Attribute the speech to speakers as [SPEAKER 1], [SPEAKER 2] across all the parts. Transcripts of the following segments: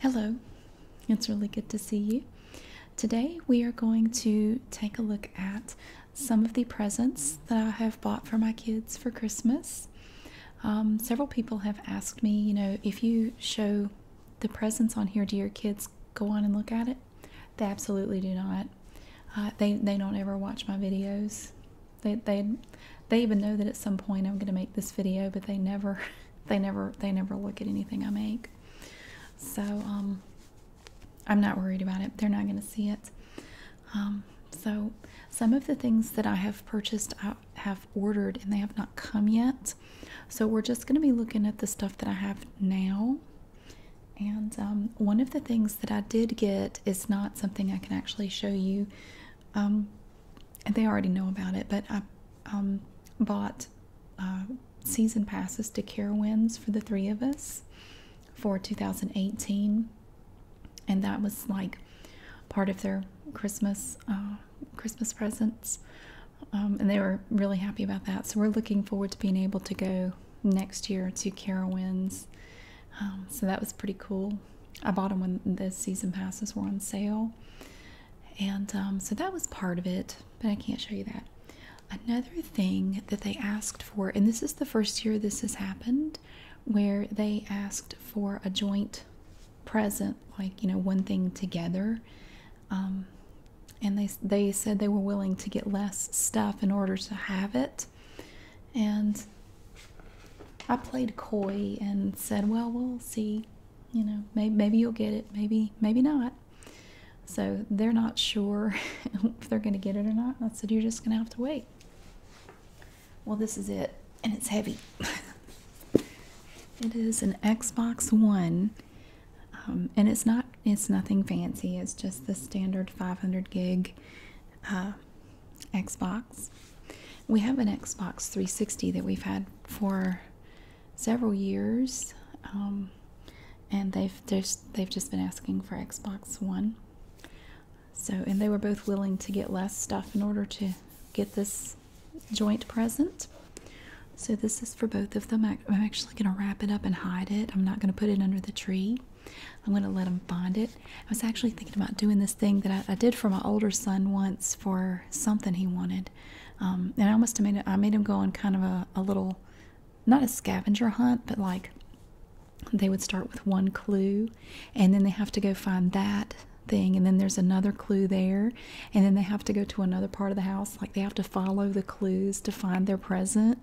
[SPEAKER 1] Hello, it's really good to see you. Today we are going to take a look at some of the presents that I have bought for my kids for Christmas. Um, several people have asked me, you know, if you show the presents on here, do your kids go on and look at it? They absolutely do not. Uh, they, they don't ever watch my videos. They, they, they even know that at some point I'm going to make this video, but they never they never they never look at anything I make. So um, I'm not worried about it. They're not going to see it. Um, so some of the things that I have purchased, I uh, have ordered, and they have not come yet. So we're just going to be looking at the stuff that I have now. And um, one of the things that I did get is not something I can actually show you um, they already know about it, but I um, bought uh, season passes to Carowinds for the three of us for 2018, and that was like part of their Christmas uh, Christmas presents, um, and they were really happy about that. So we're looking forward to being able to go next year to Carowinds. so that was pretty cool. I bought them when the season passes were on sale. And um, so that was part of it, but I can't show you that. Another thing that they asked for, and this is the first year this has happened, where they asked for a joint present, like, you know, one thing together. Um, and they, they said they were willing to get less stuff in order to have it. And I played coy and said, well, we'll see you know maybe, maybe you'll get it maybe maybe not so they're not sure if they're going to get it or not i said you're just going to have to wait well this is it and it's heavy it is an xbox one um, and it's not it's nothing fancy it's just the standard 500 gig uh, xbox we have an Xbox 360 that we've had for several years, um, and they've just been asking for Xbox One. So, and they were both willing to get less stuff in order to get this joint present. So this is for both of them. I, am actually going to wrap it up and hide it. I'm not going to put it under the tree. I'm going to let them find it. I was actually thinking about doing this thing that I did for my older son once for something he wanted. Um, and I almost made I made him go on kind of a, a little, not a scavenger hunt, but like they would start with one clue and then they have to go find that thing and then there's another clue there and then they have to go to another part of the house like they have to follow the clues to find their present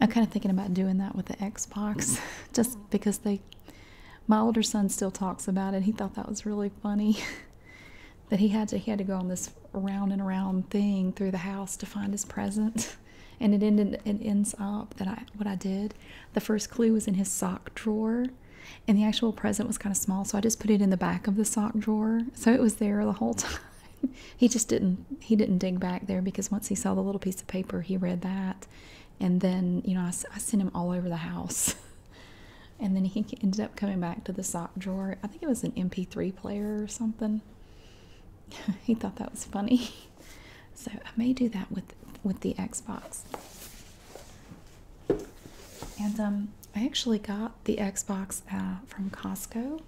[SPEAKER 1] i'm kind of thinking about doing that with the xbox just because they my older son still talks about it. He thought that was really funny that he had to he had to go on this round and around thing through the house to find his present. And it ended it ends up that I what I did. The first clue was in his sock drawer. And the actual present was kind of small, so I just put it in the back of the sock drawer. So it was there the whole time. he just didn't he didn't dig back there because once he saw the little piece of paper, he read that. And then, you know, I, I sent him all over the house and then he ended up coming back to the sock drawer. I think it was an MP3 player or something. he thought that was funny. So I may do that with with the Xbox. And um, I actually got the Xbox uh, from Costco.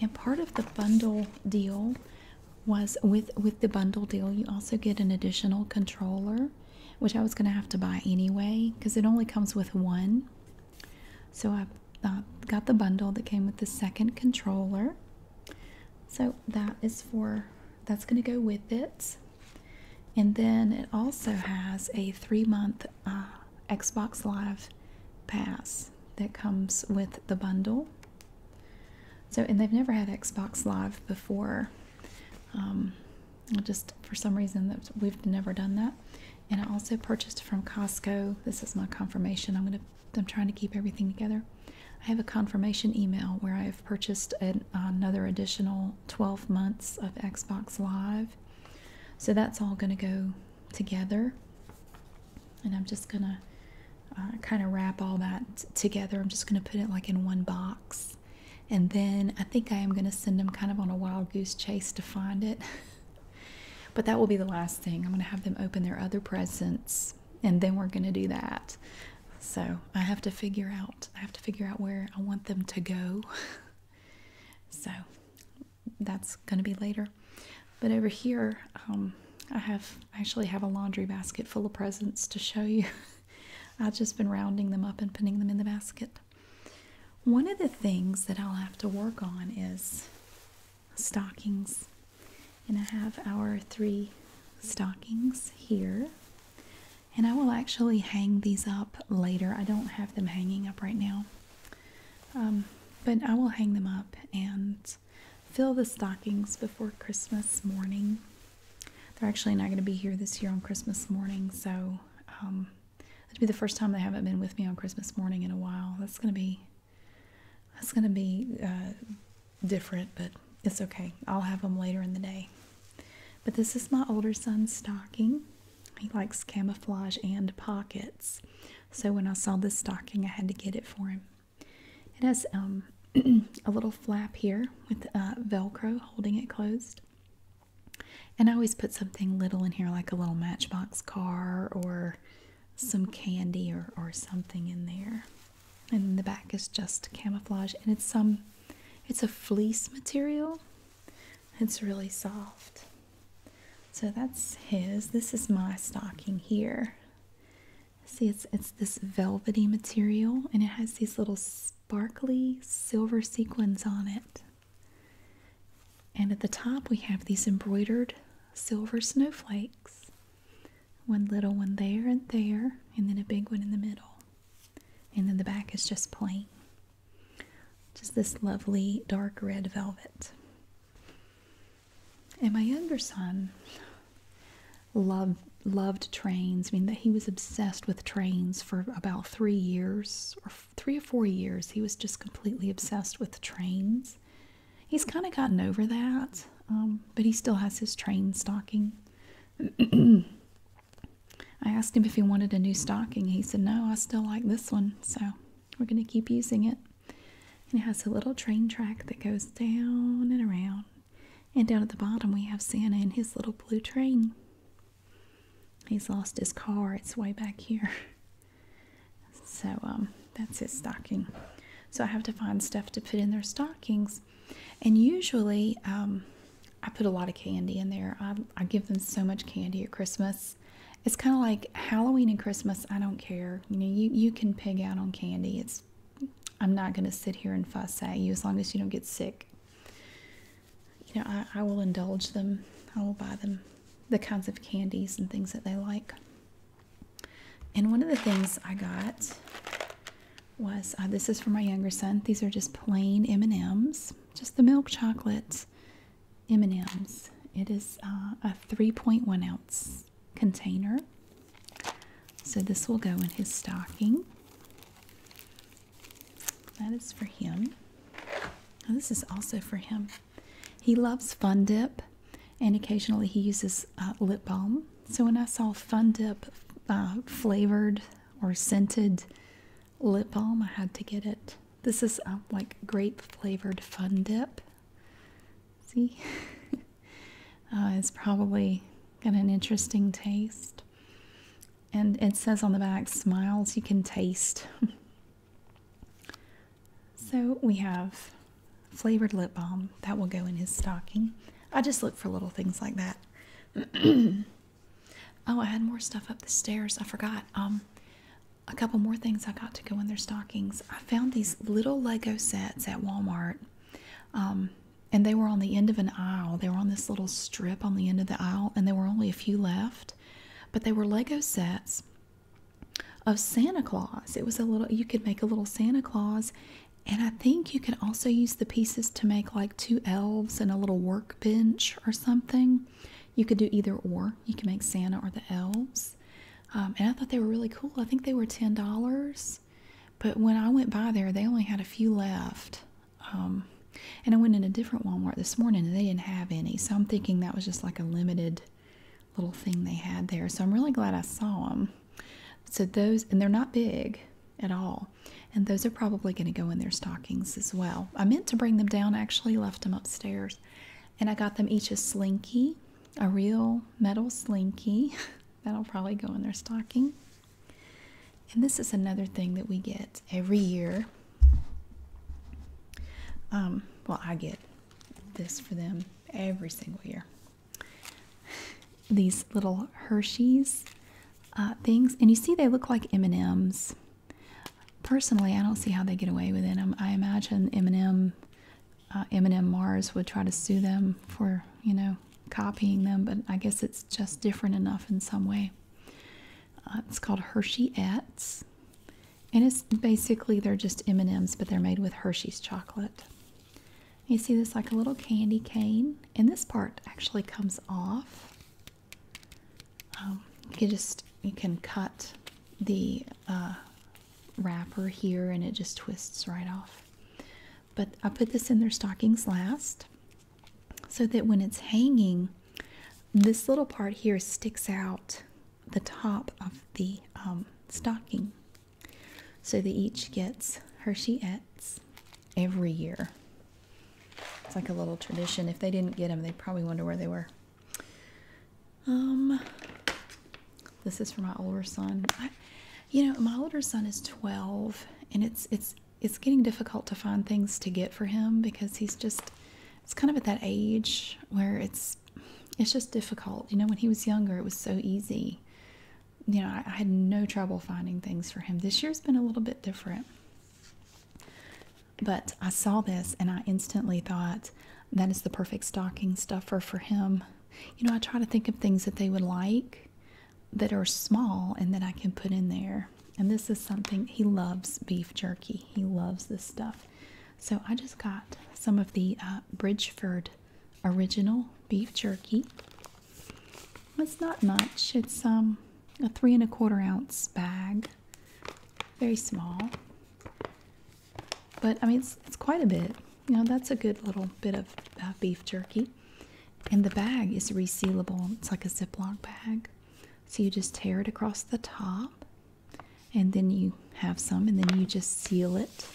[SPEAKER 1] And part of the bundle deal was with with the bundle deal, you also get an additional controller which I was going to have to buy anyway because it only comes with one. So I uh, got the bundle that came with the second controller. So that is for, that's going to go with it. And then it also has a three month uh, Xbox Live Pass that comes with the bundle. So, and they've never had Xbox Live before. Um, just for some reason that we've never done that and i also purchased from costco this is my confirmation i'm going to i'm trying to keep everything together i have a confirmation email where i have purchased another additional 12 months of xbox live so that's all going to go together and i'm just going to uh, kind of wrap all that together i'm just going to put it like in one box and then I think I am going to send them kind of on a wild goose chase to find it. but that will be the last thing. I'm going to have them open their other presents and then we're going to do that. So, I have to figure out I have to figure out where I want them to go. so, that's going to be later. But over here, um, I have I actually have a laundry basket full of presents to show you. I've just been rounding them up and putting them in the basket. One of the things that I'll have to work on is stockings. And I have our three stockings here. And I will actually hang these up later. I don't have them hanging up right now. Um, but I will hang them up and fill the stockings before Christmas morning they're actually not going to be here this year on Christmas morning, so um, it'll be the first time they haven't been with me on Christmas morning in a while. That's going to be that's going to be uh, different, but it's okay. I'll have them later in the day. But this is my older son's stocking. He likes camouflage and pockets. So when I saw this stocking, I had to get it for him. It has um, a little flap here with uh, Velcro holding it closed. And I always put something little in here, like a little matchbox car or some candy or, something in there. And the back is just camouflage, and it's some, it's a fleece material. It's really soft. So that's his. This is my stocking here. See, it's it's this velvety material, and it has these little sparkly silver sequins on it. And at the top, we have these embroidered silver snowflakes one little one there and there, and then a big one in the middle. And then the back is just plain. Just this lovely dark red velvet. And my younger son loved loved trains. I mean, that he was obsessed with trains for about three years or three or four years. He was just completely obsessed with trains. He's kind of gotten over that, um, but he still has his train stocking. I asked him if he wanted a new stocking. He said, No, I still like this one. So we're going to keep using it. And it has a little train track that goes down and around. And down at the bottom, we have Santa and his little blue train. He's lost his car. It's way back here. So um, that's his stocking. So I have to find stuff to put in their stockings. And usually um, I put a lot of candy in there. I, I give them so much candy at Christmas. It's kind of like Halloween and Christmas. I don't care. You know, you, you can pig out on candy. It's I'm not going to sit here and fuss at you as long as you don't get sick you know, I, will indulge them. I will buy them the kinds of candies and things that they like. And one of the things I got was uh, this is for my younger son. These are just plain M&Ms, just the milk chocolate M&Ms. It is uh, a 3.1 ounce container. So this will go in his stocking. That is for him. this is also for him. He loves Fun Dip, and occasionally he uses uh, lip balm. So when I saw Fun Dip uh, flavored or scented lip balm, I had to get it. This is um, like grape flavored Fun Dip. See? Uh, it's probably got an interesting taste and it says on the back smiles you can taste. so we have flavored lip balm that will go in his stocking. I just look for little things like that. oh, I had more stuff up the stairs. I forgot. Um a couple more things I got to go in their stockings. I found these little Lego sets at Walmart. Um, and they were on the end of an aisle. They were on this little strip on the end of the aisle, and there were only a few left, but they were Lego sets of Santa Claus. It was a little, you could make a little Santa Claus, and I think you could also use the pieces to make like two elves and a little workbench or something. You could do either or. You can make Santa or the elves. Um, and I thought they were really cool. I think they were $10. But when I went by there, they only had a few left. Um, and I went in a different Walmart this morning and they didn't have any. So I'm thinking that was just like a limited little thing they had there. So I'm really glad I saw them. So those, and they're not big at all. And those are probably going to go in their stockings as well. I meant to bring them down, actually, left them upstairs. And I got them each a slinky, a real metal slinky. That'll probably go in their stocking. And this is another thing that we get every year. Um, well, I get this for them every single year. These little Hershey's uh, things, and you see they look like M and M's. Personally, I don't see how they get away with it. Um, I imagine M and M, uh, M and M Mars would try to sue them for you know copying them, but I guess it's just different enough in some way. Uh, it's called Hershey-Ets, and it's basically they're just M&Ms, but they're made with Hershey's chocolate. You see this like a little candy cane, and this part actually comes off. Um, you just you can cut the uh, wrapper here, and it just twists right off. But I put this in their stockings last so that when it's hanging, this little part here sticks out the top of the um, stocking. So they each gets Hershey's every year. It's like a little tradition. If they didn't get them, they probably wonder where they were. Um, this is for my older son. you know, my older son is 12, and it's it's it's getting difficult to find things to get for him because he's just it's kind of at that age where it's it's just difficult you know when he was younger it was so easy you know i, had no trouble finding things for him this year's been a little bit different but i saw this and i instantly thought that is the perfect stocking stuffer for him you know i try to think of things that they would like that are small and that I can put in there. And this is something he loves beef jerky. He loves this stuff. So I just got some of the uh, Bridgeford original beef jerky. It's not much. It's um, a three and a quarter ounce bag. Very small. But I mean, it's, quite a bit. You know, that's a good little bit of uh, beef jerky. And the bag is resealable. It's like a Ziploc bag. So you just tear it across the top, and then you have some, and then you just seal it,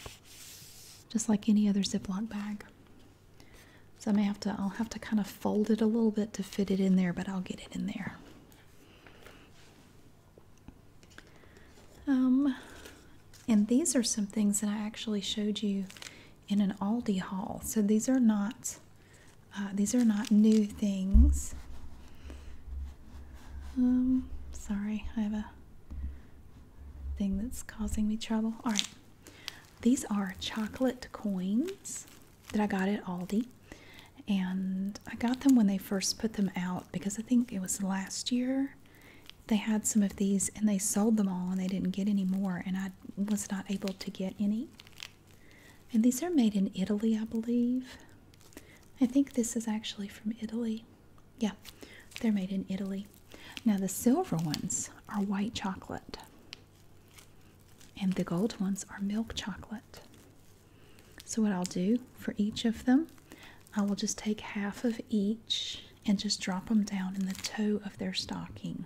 [SPEAKER 1] just like any other Ziploc bag. So I may have to, I'll have to kind of fold it a little bit to fit it in there, but I'll get it in there. Um, and these are some things that I actually showed you in an Aldi haul. So these are not uh, these are not new things. Um, sorry, I have a thing that's causing me trouble. All right, these are chocolate coins that I got at Aldi, and I got them when they first put them out because I think it was last year they had some of these and they sold them all and they didn't get any more, and I was not able to get any. And these are made in Italy, I believe. I think this is actually from Italy. Yeah, they're made in Italy. Now, the silver ones are white chocolate, and the gold ones are milk chocolate. So, what I'll do for each of them, I will just take half of each and just drop them down in the toe of their stocking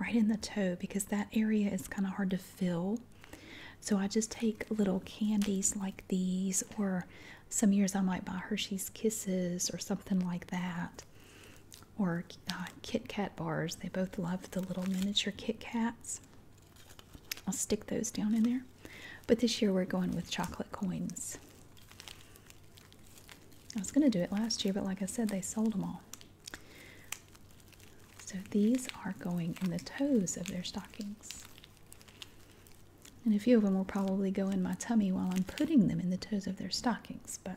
[SPEAKER 1] right in the toe because that area is kind of hard to fill. So I just take little candies like these, or some years I might buy Hershey's Kisses or something like that, or uh, Kit Kat bars. They both love the little miniature Kit Kats. I'll stick those down in there. But this year we're going with chocolate coins. I was going to do it last year, but like I said, they sold them all. So these are going in the toes of their stockings. And a few of them will probably go in my tummy while I'm putting them in the toes of their stockings, but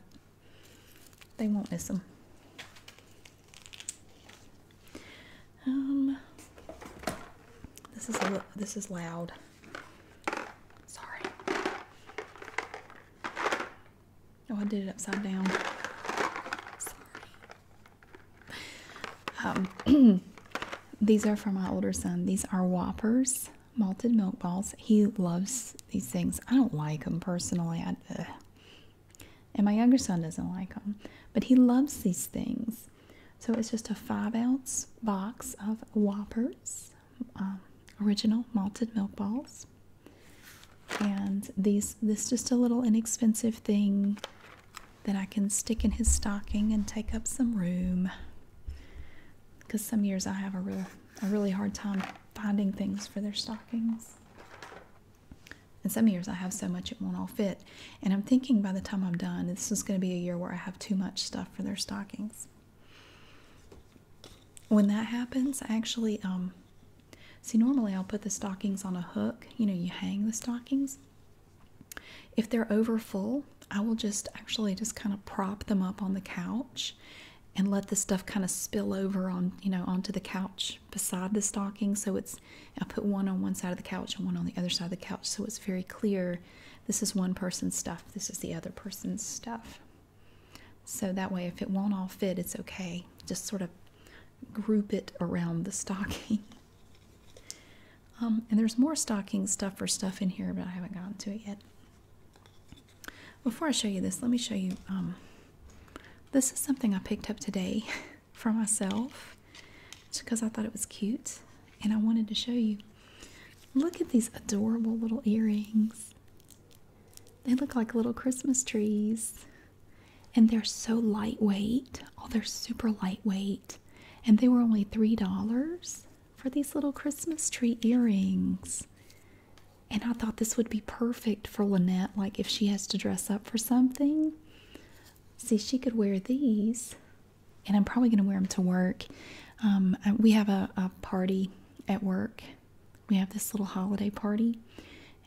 [SPEAKER 1] they won't miss them. Um, this is this is loud. Sorry. Oh, I did it upside down. Sorry. Um, these are for my older son. These are Whoppers malted milk balls. He loves these things. I don't like them personally. and my younger son doesn't like them, but he loves these things. So it's just a five ounce box of Whoppers um, original malted milk balls and these this just a little inexpensive thing that I can stick in his stocking and take up some room because some years I have a real a really hard time finding things for their stockings. And some years I have so much it won't all fit. And I'm thinking by the time I'm done, this is going to be a year where I have too much stuff for their stockings. When that happens, I actually um, See, normally I'll put the stockings on a hook. You know, you hang the stockings. If they're over full, I will just actually just kind of prop them up on the couch and let the stuff kind of spill over on, you know, onto the couch beside the stocking. So it's, I put one on one side of the couch and one on the other side of the couch. So it's very clear this is one person's stuff, this is the other person's stuff. So that way, if it won't all fit, it's okay. Just sort of group it around the stocking. Um, and there's more stocking stuff or stuff in here, but I haven't gotten to it yet. Before I show you this, let me show you. Um, this is something I picked up today for myself just because I thought it was cute and I wanted to show you. Look at these adorable little earrings. They look like little Christmas trees and they're so lightweight. Oh, they're super lightweight. And they were only $3 for these little Christmas tree earrings. And I thought this would be perfect for Lynette, like if she has to dress up for something. See, she could wear these, and I'm probably going to wear them to work. Um, uh, we have a party at work we have this little holiday party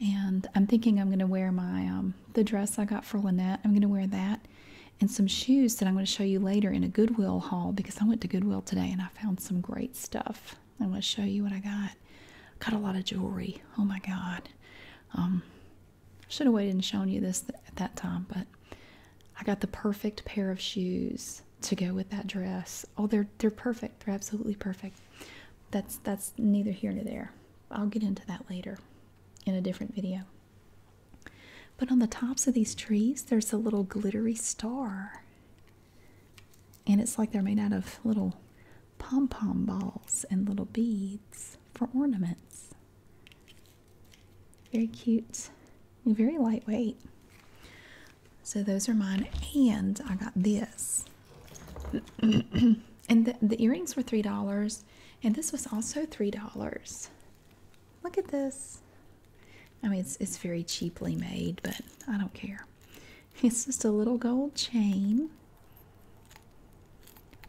[SPEAKER 1] and i'm thinking i'm going to wear my um, the dress i got for lynette i'm going to wear that and some shoes that i'm going to show you later in a goodwill haul because i went to goodwill today and i found some great stuff i'm going to show you what i got got a lot of jewelry oh my god um, should have waited and shown you this at that time but i got the perfect pair of shoes to go with that dress oh they're they're perfect they're absolutely perfect that's that's neither here nor there. I'll get into that later in a different video. But on the tops of these trees, there's a little glittery star. And it's like they're made out of little pom pom balls and little beads for ornaments. Very cute and very lightweight. So, those are mine. And I got this and the, earrings were $3, and this was also $3. Look at this. I mean, it's, it's very cheaply made, but I don't care. It's just a little gold chain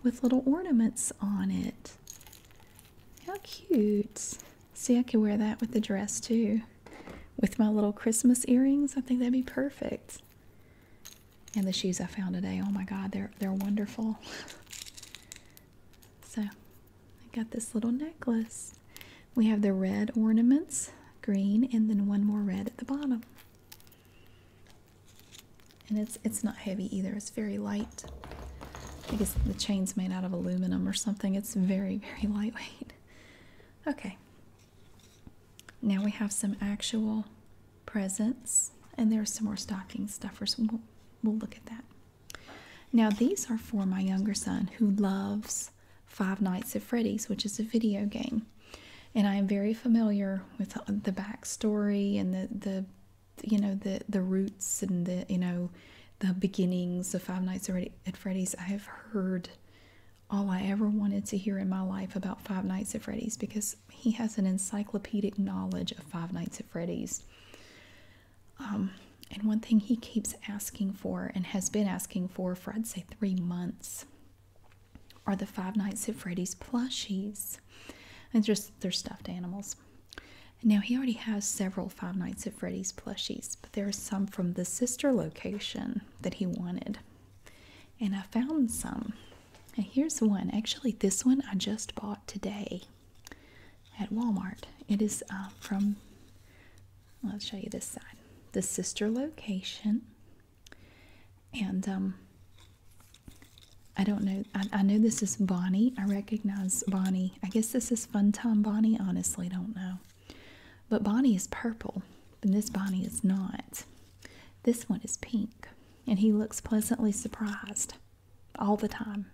[SPEAKER 1] with little ornaments on it. How cute. See, I could wear that with the dress too. With my little Christmas earrings, I think that'd be perfect. And the shoes I found today, oh my god, they're they're wonderful. so I got this little necklace. We have the red ornaments, green, and then one more red at the bottom. And it's it's not heavy either, it's very light. I guess the chain's made out of aluminum or something. It's very, very lightweight. Okay, now we have some actual presents, and there's some more stocking stuffers. We'll, we'll look at that. Now, these are for my younger son who loves Five Nights at Freddy's, which is a video game. And I am very familiar with the backstory and the, the you know, the, the roots and the, you know, the beginnings of Five Nights at Freddy's. I have heard all I ever wanted to hear in my life about Five Nights at Freddy's because he has an encyclopedic knowledge of Five Nights at Freddy's. Um, and one thing he keeps asking for and has been asking for for I'd say three months are the Five Nights at Freddy's plushies. And just they're stuffed animals. Now he already has several Five Nights at Freddy's plushies, but there are some from the sister location that he wanted and I found some. And here's one. Actually, this one I just bought today at Walmart. It is uh, from, I'll show you this side, the sister location. And um, I don't know, I, I know this is Bonnie. I recognize Bonnie. I guess this is Fun Time Bonnie. Honestly, don't know. But Bonnie is purple, and this Bonnie is not. This one is pink, and he looks pleasantly surprised all the time.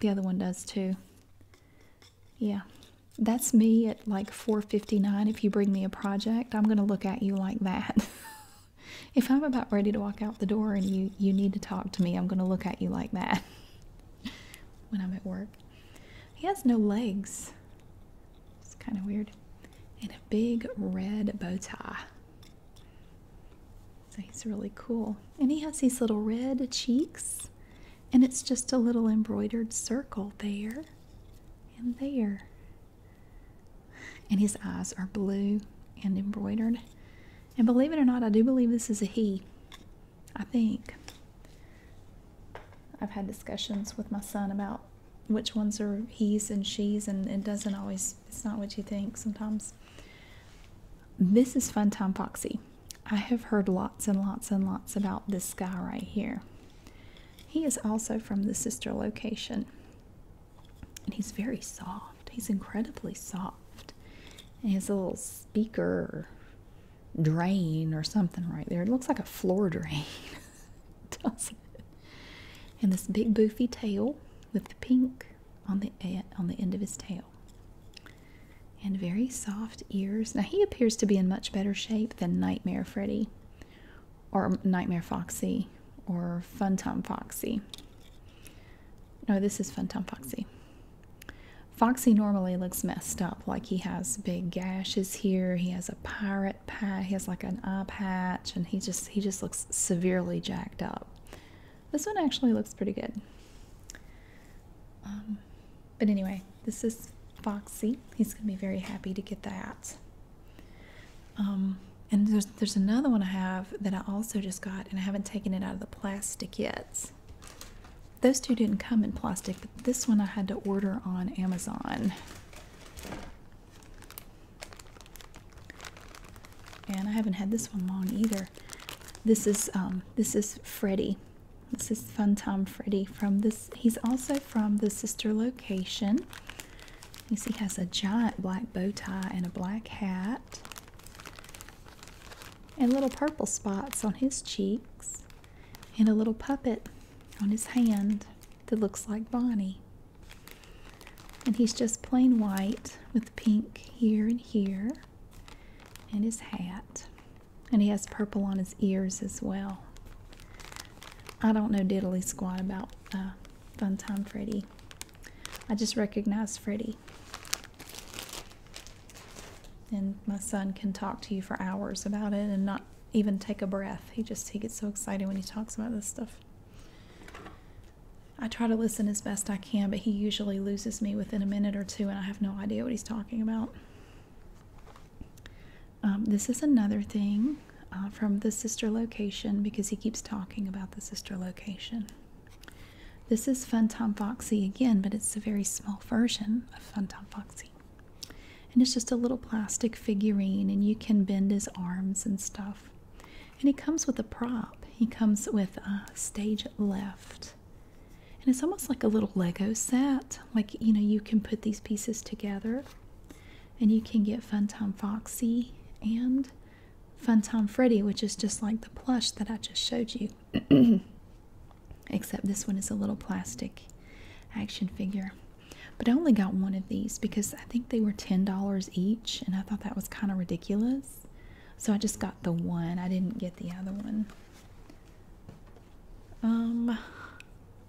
[SPEAKER 1] The other one does too. Yeah. That's me at like 4:59 if you bring me a project. I'm going to look at you like that. if I'm about ready to walk out the door and you you need to talk to me, I'm going to look at you like that when I'm at work. He has no legs. It's kind of weird. And a big red bow tie. So he's really cool. And he has these little red cheeks. And it's just a little embroidered circle there and there. And his eyes are blue and embroidered. And believe it or not, I do believe this is a he. I think. I've had discussions with my son about which ones are he's and she's, and it doesn't always, it's not what you think sometimes. This is Funtime Foxy. I have heard lots and lots and lots about this guy right here. He is also from the sister location. And he's very soft. He's incredibly soft. And he has a little speaker drain or something right there. It looks like a floor drain. And this big boofy tail with the pink on the eh, on the end of his tail. And very soft ears. Now he appears to be in much better shape than Nightmare Freddy or Nightmare Foxy or Funtime Foxy. No, this is Funtime Foxy. Foxy normally looks messed up, like he has big gashes here, he has a pirate he has like an eye patch, and he just he just looks severely jacked up. This one actually looks pretty good. Um, but anyway, this is Foxy. He's gonna be very happy to get that. Um, and there's there's another one I have that I also just got, and I haven't taken it out of the plastic yet. Those two didn't come in plastic, but this one I had to order on Amazon. And I haven't had this one long either. This is um, this is Freddy. This is Fun Time Freddy from this. He's also from the sister location. he has a giant black bow tie and a black hat, and little purple spots on his cheeks and a little puppet on his hand that looks like Bonnie. And he's just plain white with pink here and here, and his hat. And he has purple on his ears as well. I don't know diddly squat about uh, Fun Time Freddy. I just recognize Freddy. And my son can talk to you for hours about it and not even take a breath. He just he gets so excited when he talks about this stuff. I try to listen as best I can, but he usually loses me within a minute or two, and I have no idea what he's talking about. Um, this is another thing uh, from the sister location because he keeps talking about the sister location. This is Fun Tom Foxy again, but it's a very small version of Fun Tom Foxy. And it's just a little plastic figurine, and you can bend his arms and stuff. And he comes with a prop, he comes with a stage left. And it's almost like a little Lego set. Like, you know, you can put these pieces together and you can get Fun Funtime Foxy and Fun Funtime Freddy, which is just like the plush that I just showed you. Except this one is a little plastic action figure. But I only got one of these because I think they were $10 each, and I thought that was kind of ridiculous. So I just got the one. I didn't get the other one. Um,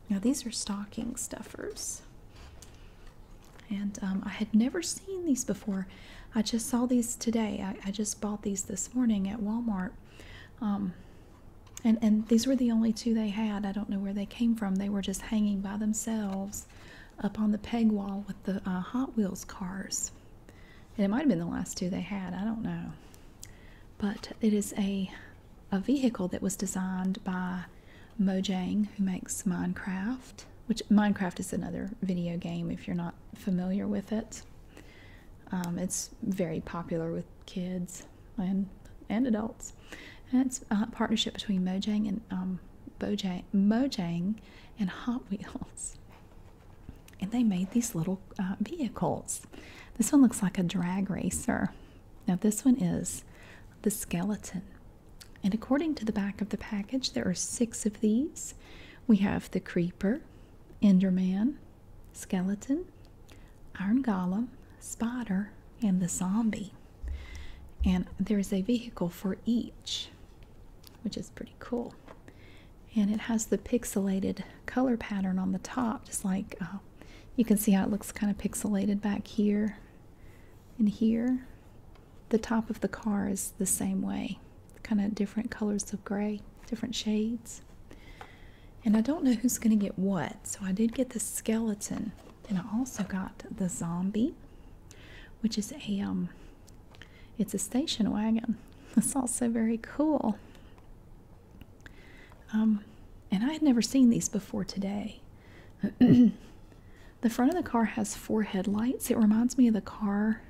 [SPEAKER 1] now these are stocking stuffers. And um, I had never seen these before. I just saw these today. I, just bought these this morning at Walmart. Um, and these were the only two they had i don't know where they came from they were just hanging by themselves up on the peg wall with the uh, hot wheels cars and it might have been the last two they had i don't know but it is a a vehicle that was designed by mojang who makes minecraft which minecraft is another video game if you're not familiar with it um, it's very popular with kids and and adults. And it's a partnership between Mojang and um, Bojang, Mojang and Hot Wheels. And they made these little uh, vehicles. This one looks like a drag racer. Now this one is the skeleton. And according to the back of the package, there are six of these. We have the creeper, Enderman, skeleton, Iron Golem, Spider, and the Zombie. And there's a vehicle for each, which is pretty cool. And it has the pixelated color pattern on the top, just like uh, you can see how it looks kind of pixelated back here and here. The top of the car is the same way, kind of different colors of gray, different shades. And I don't know who's going to get what. So I did get the skeleton. And I also got the zombie, which is a um it's a station wagon. That's also very cool. Um and I had never seen these before today. the front of the car has four headlights. It reminds me of the car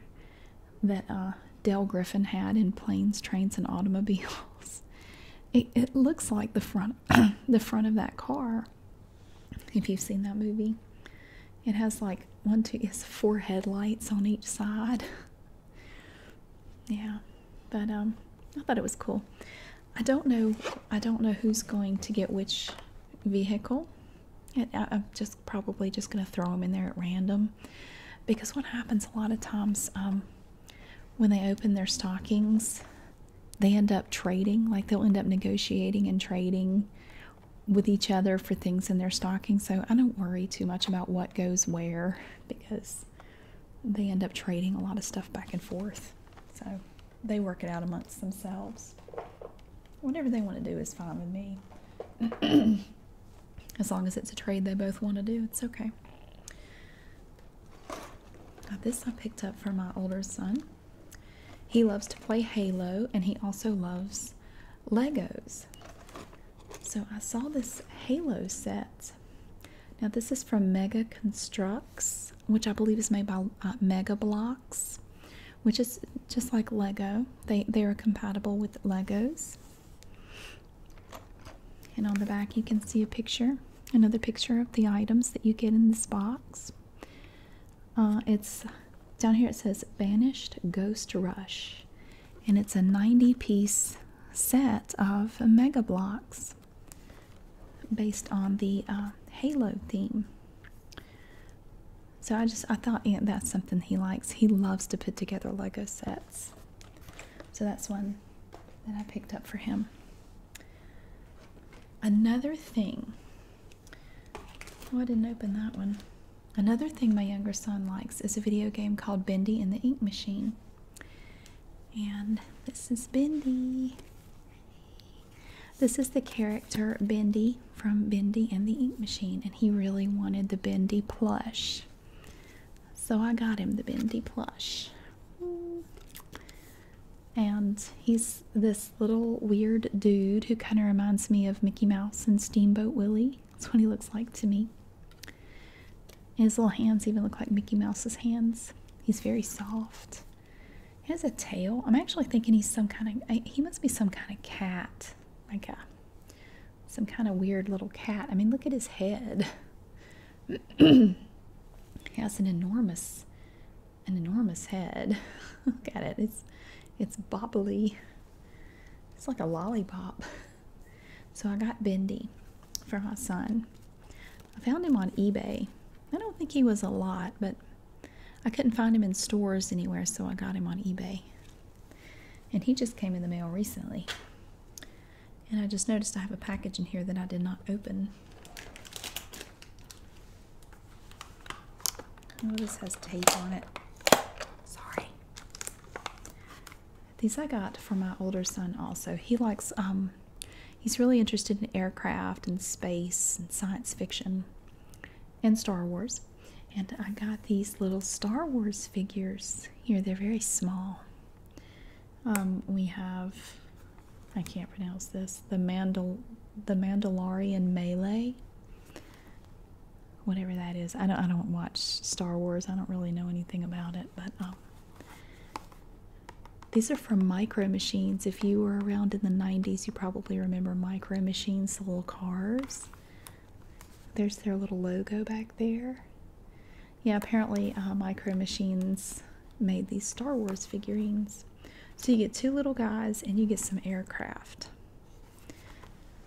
[SPEAKER 1] that uh, Dell Griffin had in planes, trains, and automobiles. it, looks like the front the front of that car if you've seen that movie it has like one two it's four headlights on each side yeah but um i thought it was cool i don't know i don't know who's going to get which vehicle I, i'm just probably just going to throw them in there at random because what happens a lot of times um when they open their stockings, they end up trading, like they'll end up negotiating and trading with each other for things in their stockings. So I don't worry too much about what goes where because they end up trading a lot of stuff back and forth. So they work it out amongst themselves. Whatever they want to do is fine with me. as long as it's a trade they both want to do, it's okay this I picked up for my older son. He loves to play Halo and he also loves Legos. So I saw this Halo set. Now this is from Mega Constructs, which I believe is made by uh, Mega Blocks, which is just like Lego. They they are compatible with Legos. And on the back, you can see a picture, another picture of the items that you get in this box. Uh, it's down here, it says Vanished Ghost Rush, and it's a 90 piece set of mega blocks based on the uh, Halo theme. So I just I thought that's something he likes. He loves to put together Lego sets. So that's one that I picked up for him. Another thing, oh, I didn't open that one. Another thing my younger son likes is a video game called Bendy and the Ink Machine. And this is Bendy. This is the character Bendy from Bendy and the Ink Machine, and he really wanted the Bendy plush. So I got him the Bendy plush and he's this little weird dude who kind of reminds me of Mickey Mouse and Steamboat Willie. That's what he looks like to me. his little hands even look like Mickey Mouse's hands. He's very soft. He has a tail. I'm actually thinking he's some kind of, he must be some kind of cat. Like a, some kind of weird little cat. I mean, look at his head has an enormous an enormous head. Look at it. It's it's bobbly. It's like a lollipop. So I got Bendy for my son. I found him on eBay. I don't think he was a lot, but I couldn't find him in stores anywhere, so I got him on eBay. And he just came in the mail recently. And I just noticed I have a package in here that I did not open. Oh, this has tape on it. Sorry. These I got for my older son also. He likes, um, he's really interested in aircraft and space and science fiction and Star Wars. And I got these little Star Wars figures here. They're very small. Um, we have I can't pronounce this. The Mandal the Mandalorian Melee. Whatever that is. I don't I don't watch Star Wars. I don't really know anything about it, but um, these are from Micro Machines. If you were around in the 90s, you probably remember Micro Machines, the little cars. There's their little logo back there. Yeah, apparently uh, Micro Machines made these Star Wars figurines. So you get two little guys and you get some aircraft.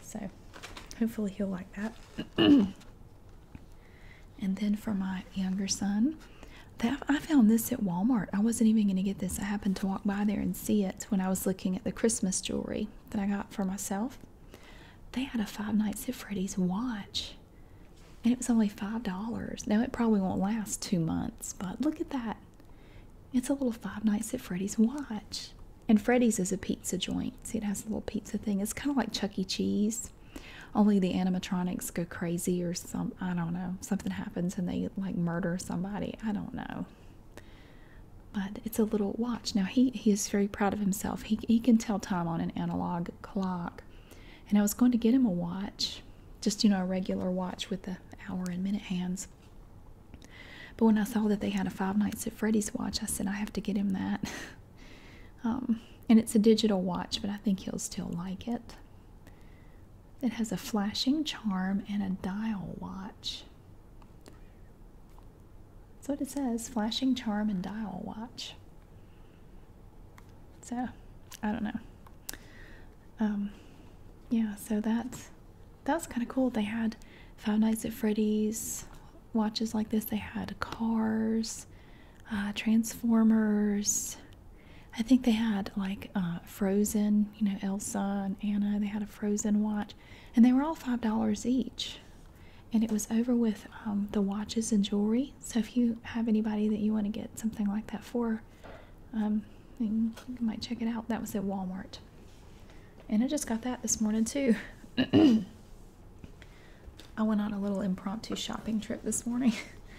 [SPEAKER 1] So hopefully he'll like that. and then for my younger son, I found this at Walmart. I wasn't even going to get this. I happened to walk by there and see it when I was looking at the Christmas jewelry that I got for myself. They had a Five Nights at Freddy's watch. And it was only $5. Now it probably won't last two months, but look at that. It's a little Five Nights at Freddy's watch. And Freddy's is a pizza joint. See, it has a little pizza thing. It's kind of like Chuck E. Cheese, only the animatronics go crazy or some, I don't know, something happens and they like murder somebody. I don't know. But it's a little watch. Now he, he is very proud of himself. He, he can tell time on an analog clock and I was going to get him a watch, just you know, a regular watch with the hour and minute hands. But when I saw that they had a Five Nights at Freddy's watch, I said I have to get him that. Um, and it's a digital watch, but I think he'll still like it. It has a flashing charm and a dial watch. That's what it says flashing charm and dial watch. So, I don't know. Um, yeah, so that's that was kind of cool. They had Five Nights at Freddy's watches like this. They had Cars, uh, Transformers. I think they had like uh, Frozen, you know, Elsa and Anna. They had a Frozen watch, and they were all five dollars each. And it was over with um, the watches and jewelry. So if you have anybody that you want to get something like that for, um, you might check it out. That was at Walmart. And I just got that this morning too. I went on a little impromptu shopping trip this morning.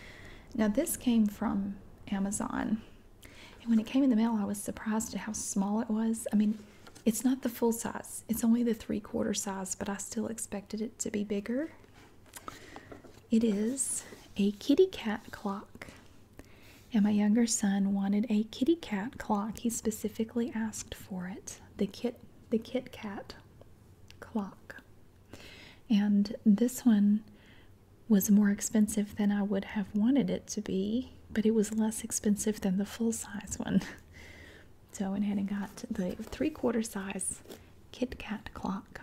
[SPEAKER 1] now this came from Amazon. And when it came in the mail, I was surprised at how small it was. I mean, it's not the full size. It's only the three quarter size, but I still expected it to be bigger. It is a kitty cat clock. And my younger son wanted a kitty cat clock. He specifically asked for it. The kit the Kit cat clock. And this one was more expensive than I would have wanted it to be, but it was less expensive than the full size one. So I went ahead and got the three quarter size Kit cat clock.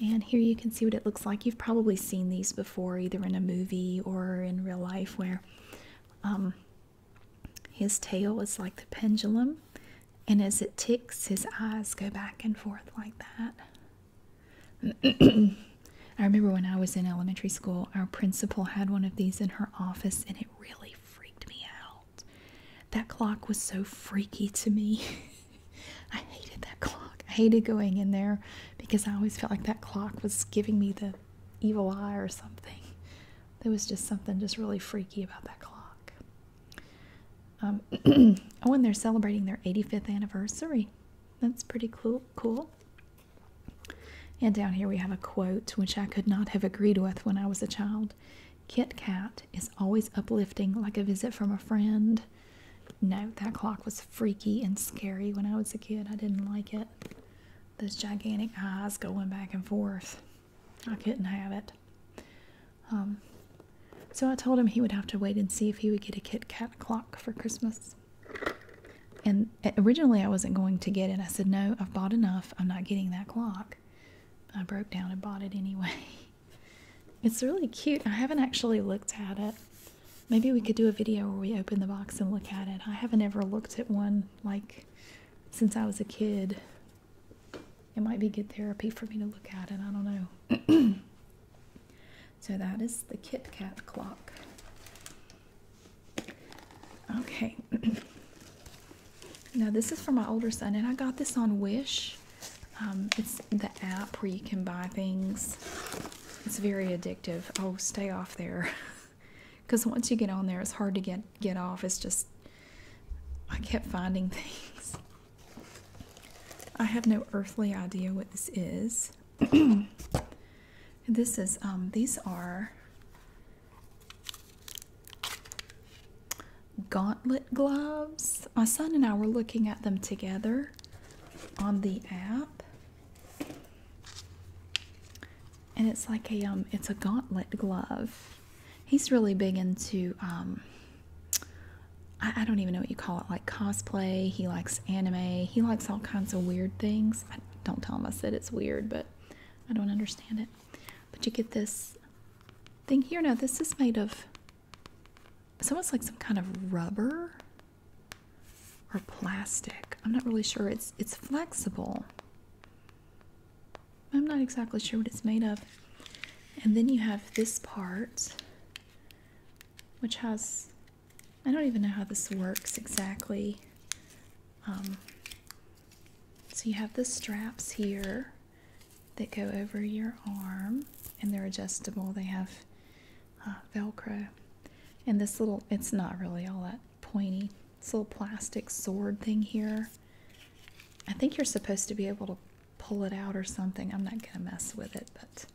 [SPEAKER 1] And here you can see what it looks like. You've probably seen these before, either in a movie or in real life, where um, his tail is like the pendulum, and as it ticks, his eyes go back and forth like that. I remember when I was in elementary school, our principal had one of these in her office, and it really freaked me out. That clock was so freaky to me. I hated that clock. I hated going in there because I always felt like that clock was giving me the evil eye or something. There was just something just really freaky about that clock. Um, oh, and they're celebrating their 85th anniversary. That's pretty cool. Cool. And down here we have a quote, which I could not have agreed with when I was a child. Kit Kat is always uplifting, like a visit from a friend. No, that clock was freaky and scary when I was a kid. I didn't like it. Those gigantic eyes going back and forth. I couldn't have it. Um, so I told him he would have to wait and see if he would get a Kit Kat clock for Christmas. And originally I wasn't going to get it. I said, no, I've bought enough. I'm not getting that clock. I broke down and bought it anyway. It's really cute. I haven't actually looked at it. Maybe we could do a video where we open the box and look at it. I haven't ever looked at one like since I was a kid. It might be good therapy for me to look at it. I don't know. so that is the Kit Kat clock. Okay. Now this is for my older son, and I got this on Wish. Um, it's the app where you can buy things. It's very addictive. Oh, stay off there, because once you get on there, it's hard to get get off. It's just I kept finding things. I have no earthly idea what this is. this is um, these are gauntlet gloves. My son and I were looking at them together on the app. And it's like a um it's a gauntlet glove. He's really big into um I, don't even know what you call it, like cosplay. He likes anime. He likes all kinds of weird things. I don't tell him I said it's weird, but I don't understand it. But you get this thing here. Now this is made of it's almost like some kind of rubber or plastic. I'm not really sure. It's it's flexible. I'm not exactly sure what it's made of. And then you have this part, which has I don't even know how this works exactly. Um, so you have the straps here that go over your arm and they're adjustable. They have uh, Velcro. And this little, it's not really all that pointy. This little plastic sword thing here. I think you're supposed to be able to pull it out or something. I'm not going to mess with it, but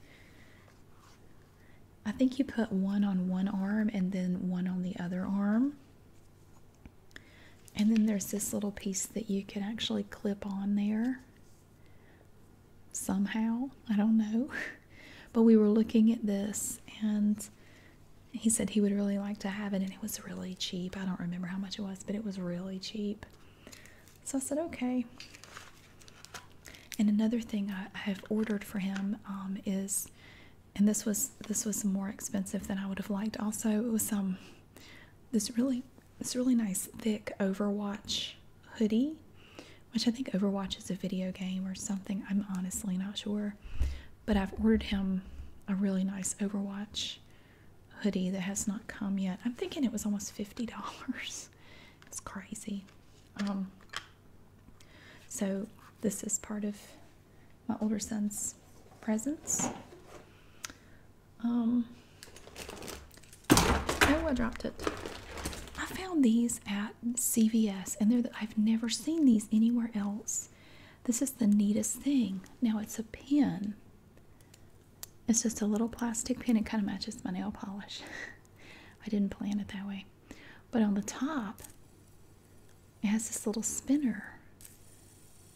[SPEAKER 1] I think you put one on one arm and then one on the other arm. And then there's this little piece that you can actually clip on there somehow. I don't know. But we were looking at this and he said he would really like to have it and it was really cheap. I don't remember how much it was, but it was really cheap. So I said, okay. And another thing I, have ordered for him um, is, and this was this was more expensive than I would have liked. Also, it was some this really this really nice thick Overwatch hoodie, which I think Overwatch is a video game or something. I'm honestly not sure. But I've ordered him a really nice Overwatch hoodie that has not come yet. I'm thinking it was almost $50. It's crazy. Um, so, this is part of my older son's presents oh, I dropped it. I found these at CVS, and they're the, I've never seen these anywhere else. This is the neatest thing. Now it's a pin. It's just a little plastic pin. It kind of matches my nail polish. I didn't plan it that way. But on the top, it has this little spinner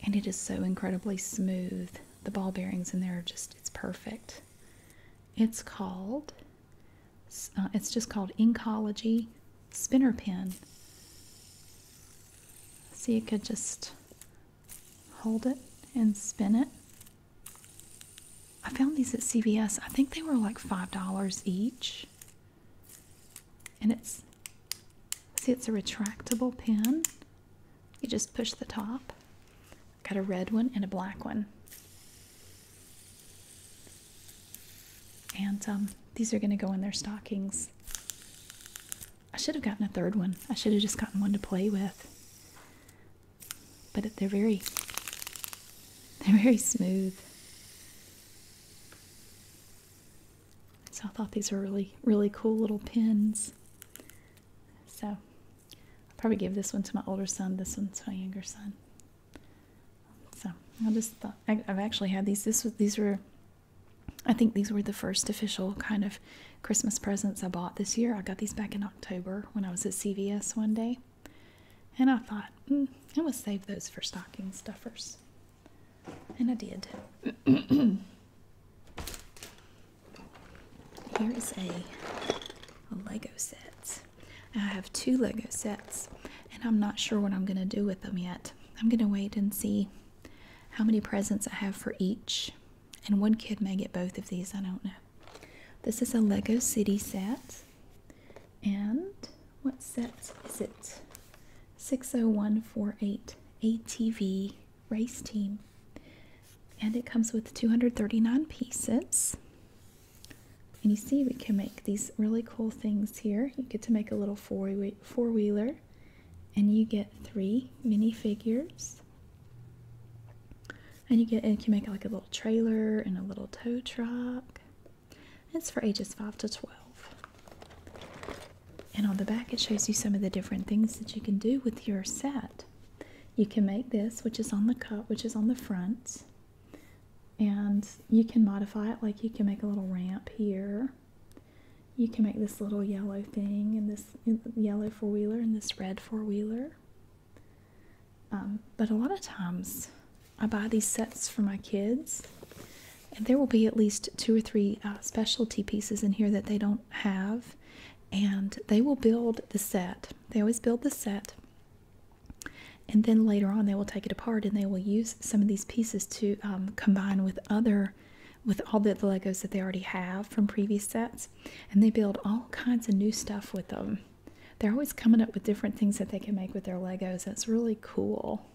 [SPEAKER 1] and it is so incredibly smooth. The ball bearings in there are just, it's perfect. It's called, uh, it's just called Inkology Spinner Pin. So you could just hold it and spin it. I found these at CVS. I think they were like $5 each. And it's, see, it's a retractable pin. You just push the top. got a red one and a black one. And um, these are going to go in their stockings. I should have gotten a third one. I should have just gotten one to play with. But they're very, they're very smooth. So I thought these are really, really cool little pins. So I'll probably give this one to my older son. This one to my younger son. So I just thought I, have actually had these. This these were. I think these were the first official kind of Christmas presents I bought this year. I got these back in October when I was at CVS one day. And I thought, mm, I'm save those for stocking stuffers. And I did. Here is a, Lego set. I have two Lego sets, and I'm not sure what I'm going to do with them yet. I'm going to wait and see how many presents I have for each. And one kid may get both of these, I don't know. This is a Lego City set. And what set is it? 60148 ATV race team. And it comes with 239 pieces. And you see, we can make these really cool things here. You get to make a little four-wheeler, and you get three minifigures. And you get, and you can make like a little trailer and a little tow truck. It's for ages 5 to 12. And on the back, it shows you some of the different things that you can do with your set. You can make this, which is on the cup, which is on the front, and you can modify it like you can make a little ramp here. You can make this little yellow thing, and this yellow four wheeler, and this red four wheeler. Um, but a lot of times, I buy these sets for my kids, and there will be at least two or three uh, specialty pieces in here that they don't have, and they will build the set. They always build the set, and then later on they will take it apart and they will use some of these pieces to um, combine with other, with all the Legos that they already have from previous sets, and they build all kinds of new stuff with them. They're always coming up with different things that they can make with their Legos. That's really cool.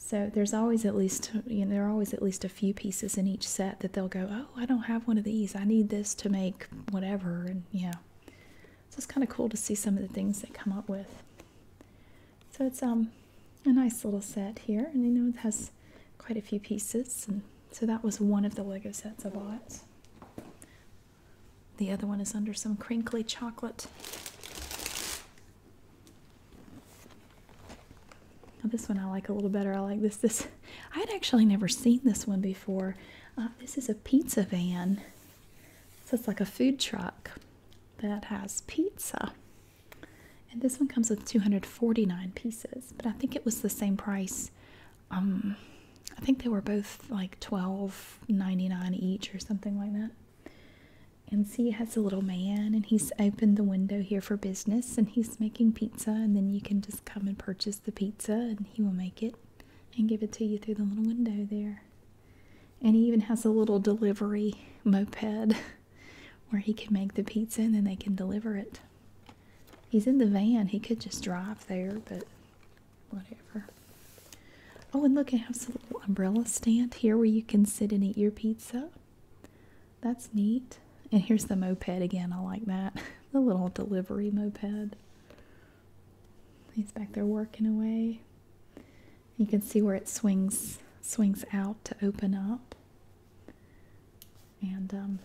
[SPEAKER 1] So there's always at least you know there are always at least a few pieces in each set that they'll go, Oh, I don't have one of these. I need this to make whatever. And yeah, so it's kind of cool to see some of the things they come up with. So it's um a nice little set here, and you know it has quite a few pieces. And so that was one of the Lego sets I bought. The other one is under some crinkly chocolate this one I like a little better. I like this. This I had actually never seen this one before. Uh, this is a pizza van, so it's like a food truck that has pizza. And this one comes with 249 pieces, but I think it was the same price. Um, I think they were both like 12.99 each or something like that. And see, it has a little man, and he's opened the window here for business, and he's making pizza, and then you can just come and purchase the pizza, and he will make it and give it to you through the little window there. And he even has a little delivery moped where he can make the pizza and then they can deliver it. He's in the van, he could just drive there, but whatever. Oh, and look, it has a little umbrella stand here where you can sit and eat your pizza. That's neat. And here's the moped again. I like that. The little delivery moped. He's back there working away. You can see where it swings swings out to open up. And um,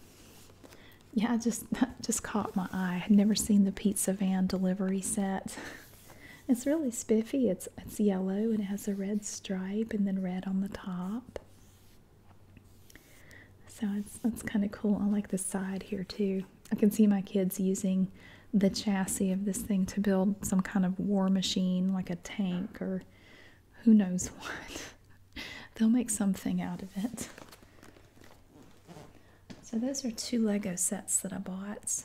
[SPEAKER 1] yeah, I just just caught my eye. I had never seen the pizza van delivery set. It's really spiffy. It's it's yellow and it has a red stripe and then red on the top. So it's that's kind of cool. I like the side here too. I can see my kids using the chassis of this thing to build some kind of war machine, like a tank or who knows what. They'll make something out of it. So those are two Lego sets that I bought.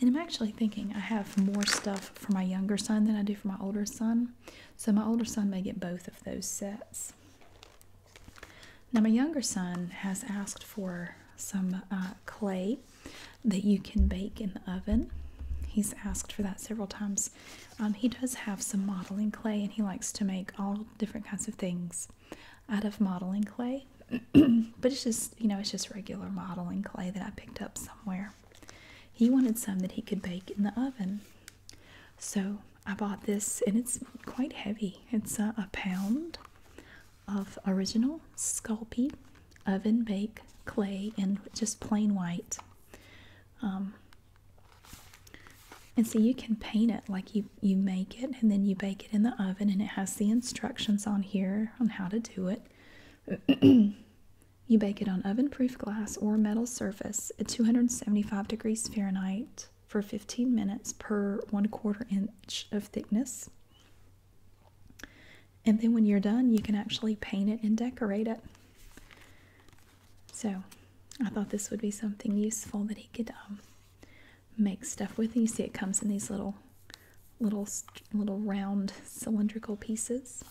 [SPEAKER 1] And I'm actually thinking I have more stuff for my younger son than I do for my older son. So my older son may get both of those sets. Now, my younger son has asked for some uh, clay that you can bake in the oven. He's asked for that several times. Um, he does have some modeling clay and he likes to make all different kinds of things out of modeling clay. but it's just, you know, it's just regular modeling clay that I picked up somewhere. He wanted some that he could bake in the oven. So I bought this, and it's quite heavy. It's a, pound of original Sculpey oven bake clay in just plain white. Um, and so you can paint it like you, you make it, and then you bake it in the oven, and it has the instructions on here on how to do it. You bake it on oven proof glass or metal surface at 275 degrees Fahrenheit for 15 minutes per 1 quarter inch of thickness. And then when you're done, you can actually paint it and decorate it. So I thought this would be something useful that he could um, make stuff with. And you see it comes in these little little little round cylindrical pieces.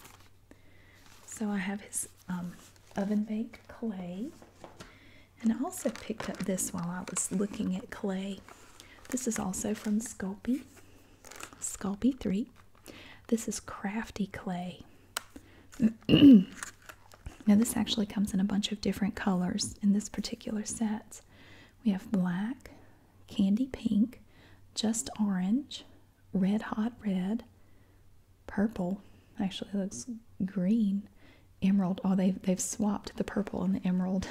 [SPEAKER 1] So I have his um, oven baked clay, and I also picked up this while I was looking at clay. This is also from Sculpey, Sculpey Three. This is crafty clay. now this actually comes in a bunch of different colors in this particular set. We have black, candy pink, just orange, red hot red, purple. Actually, looks green, emerald. Oh, they've they've swapped the purple and the emerald.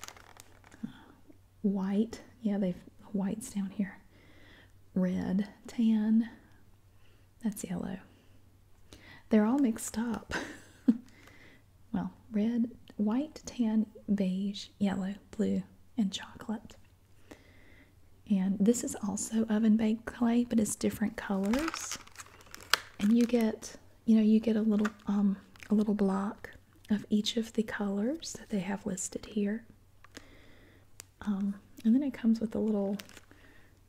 [SPEAKER 1] white, yeah, they've whites down here. Red, tan. That's yellow. They're all mixed up. well, red, white, tan, beige, yellow blue, and chocolate. And this is also oven baked clay, but it's different colors. And you get, you know, you get a little um a little block of each of the colors that they have listed here. Um, and then it comes with a little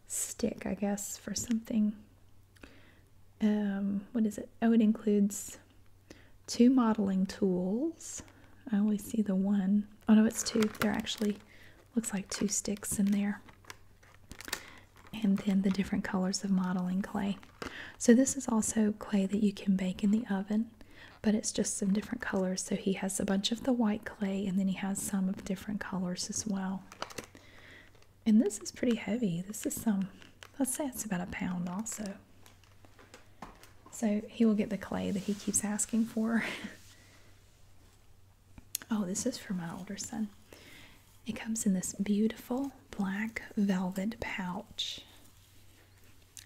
[SPEAKER 1] stick, I guess, for something. Um, what is it? Oh, it includes two modeling tools. I always see the one. Oh no, it's two. they They're actually looks like two sticks in there. And then the different colors of modeling clay. So this is also clay that you can bake in the oven, but it's just some different colors. So he has a bunch of the white clay and then he has some of different colors as well. And this is pretty heavy. This is some, let's say it's about a pound also. So he will get the clay that he keeps asking for. oh, this is for my older son. It comes in this beautiful black velvet pouch.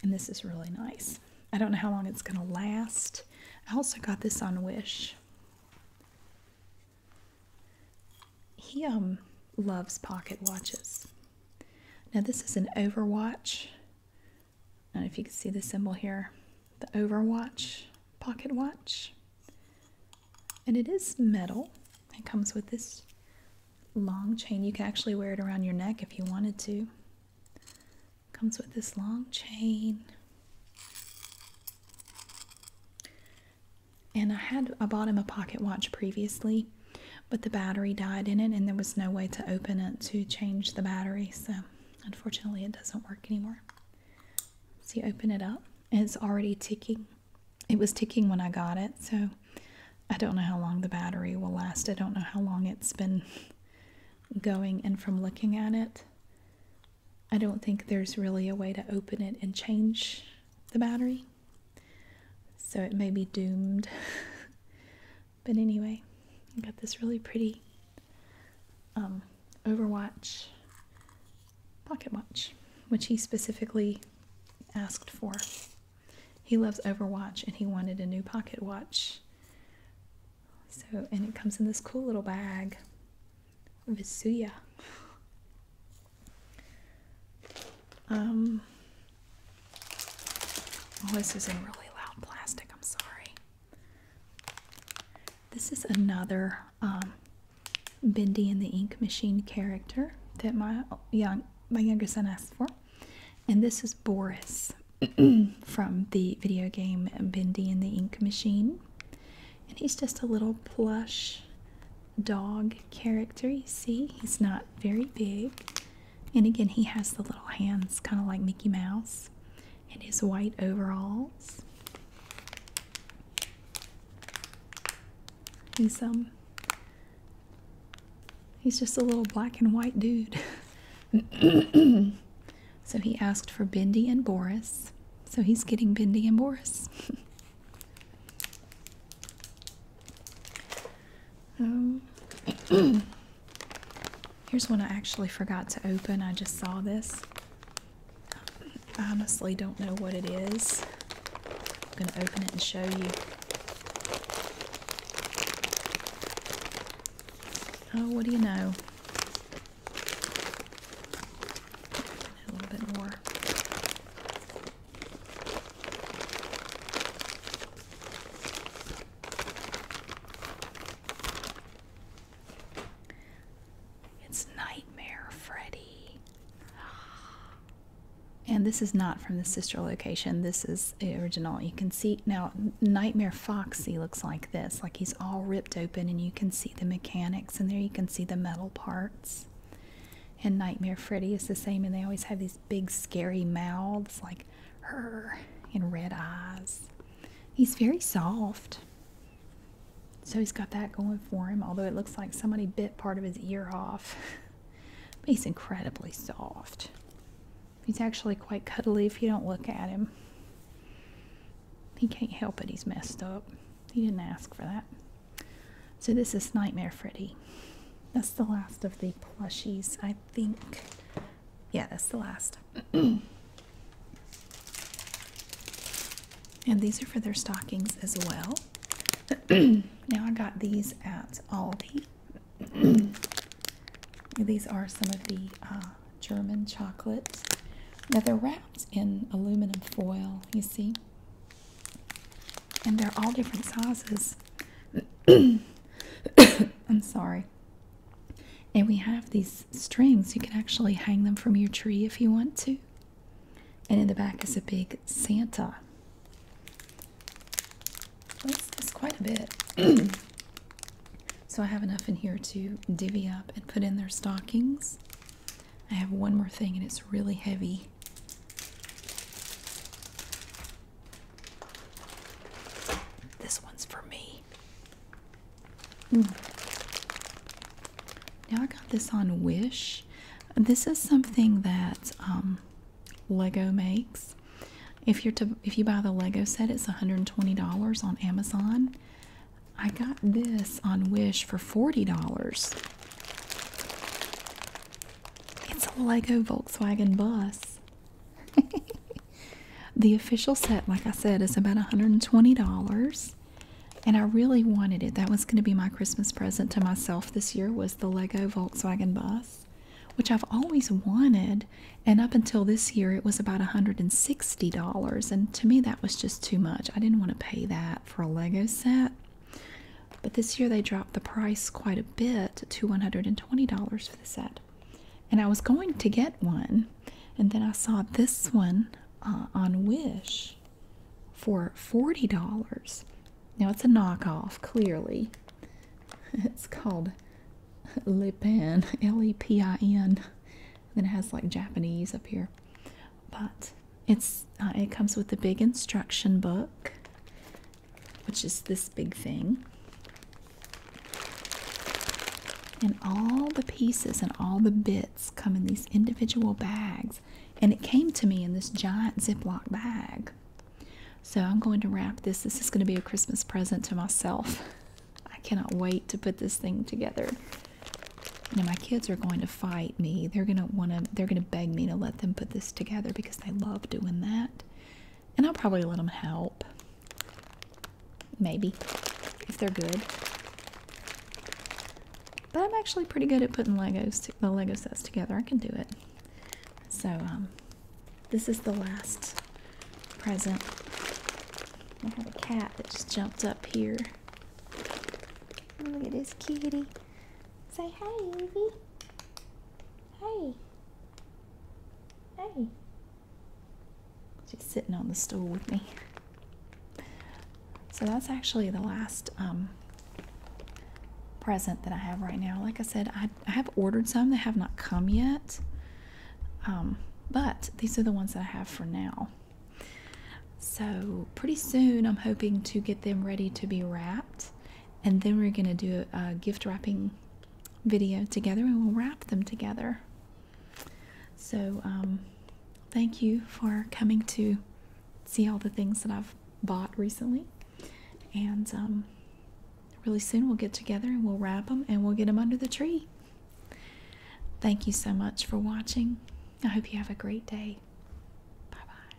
[SPEAKER 1] And this is really nice. I don't know how long it's going to last. I also got this on Wish. He um loves pocket watches. Now this is an Overwatch. I don't know if you can see the symbol here. The Overwatch pocket watch. And it is metal. It comes with this long chain. You can actually wear it around your neck if you wanted to. comes with this long chain. And I had I bought him a pocket watch previously, but the battery died in it and there was no way to open it to change the battery so unfortunately it doesn't work anymore so open it up it's already ticking it was ticking when i got it so i don't know how long the battery will last i don't know how long it's been going and from looking at it i don't think there's really a way to open it and change the battery so it may be doomed But anyway, I got this really pretty um, Overwatch pocket watch, which he specifically asked for. He loves Overwatch and he wanted a new pocket watch. So, and it comes in this cool little bag. Vesuya. Um, Oh, this is in really loud plastic. I'm sorry. This is another um, Bendy and the Ink Machine character that my young my younger son asked for, and this is Boris from the video game Bendy and the Ink Machine, and he's just a little plush dog character. You see, he's not very big. And again, he has the little hands, kind of like Mickey Mouse, and his white overalls. He's um, he's just a little black and white dude. so he asked for Bendy and Boris. So he's getting Bendy and Boris. Um, here's one I actually forgot to open. I just saw this. I honestly don't know what it is. I'm going to open it and show you. Oh, what do you know? A little bit more. It's Nightmare Freddy. And this is not from the sister location. This is original. You can see now Nightmare Foxy looks like this. Like he's all ripped open and you can see the mechanics in there. You can see the metal parts. And Nightmare Freddy is the same and they always have these big scary mouths like her in red eyes. He's very soft. So he's got that going for him, although it looks like somebody bit part of his ear off. but he's incredibly soft. He's actually quite cuddly if you don't look at him. He can't help it, he's messed up. He didn't ask for that. So this is Nightmare Freddy. That's the last of the plushies, I think. Yeah, that's the last. and these are for their stockings as well. now I got these at Aldi. these are some of the uh, German chocolates. Now they're wrapped in aluminum foil, you see. And they're all different sizes. I'm sorry. And we have these strings. You can actually hang them from your tree if you want to. And in the back is a big Santa. That's, that's quite a bit. so I have enough in here to divvy up and put in their stockings. I have one more thing and it's really heavy. This one's for me. Hmm. Now I got this on Wish. This is something that um, Lego makes. if you buy the Lego set, it's $120 on Amazon. I got this on Wish for $40. It's a Lego Volkswagen bus. the official set, like I said, is about $120. And I really wanted it. That was going to be my Christmas present to myself this year was the Lego Volkswagen bus, which I've always wanted. And up until this year, it was about $160. And to me, that was just too much. I didn't want to pay that for a Lego set. But this year, they dropped the price quite a bit to $120 for set. And I was going to get one, and then I saw this one uh, on Wish for $40. Now it's a knockoff, clearly. It's called Lipin L E P I N. and it has like Japanese up here. But it's uh, it comes with a big instruction book which is this big thing. And all the pieces and all the bits come in these individual bags. And it came to me in this giant Ziploc bag. So I'm going to wrap this. This is going to be a Christmas present to myself. I cannot wait to put this thing together. Now my kids are going to fight me. They're going to want to they're going to beg me to let them put this together because they love doing that and I'll probably let them help. Maybe, if they're good. But I'm actually pretty good at putting Legos, the Lego sets together. I can do it. So, um, this is the last present. I have a cat that just jumped up here. Look at this kitty. Say hi, baby. Hey. Hey. She's sitting on the stool with me. So that's actually the last um, present that I have right now. Like I said, I, have ordered some that have not come yet. Um, but these are the ones that I have for now. So pretty soon I'm hoping to get them ready to be wrapped. And then we're going to do a gift wrapping video together and we'll wrap them together. So, um, thank you for coming to see all the things that I've bought recently. And um, really soon we'll get together and we'll wrap them and we'll get them under the tree. Thank you so much for watching. I hope you have a great day. Bye bye.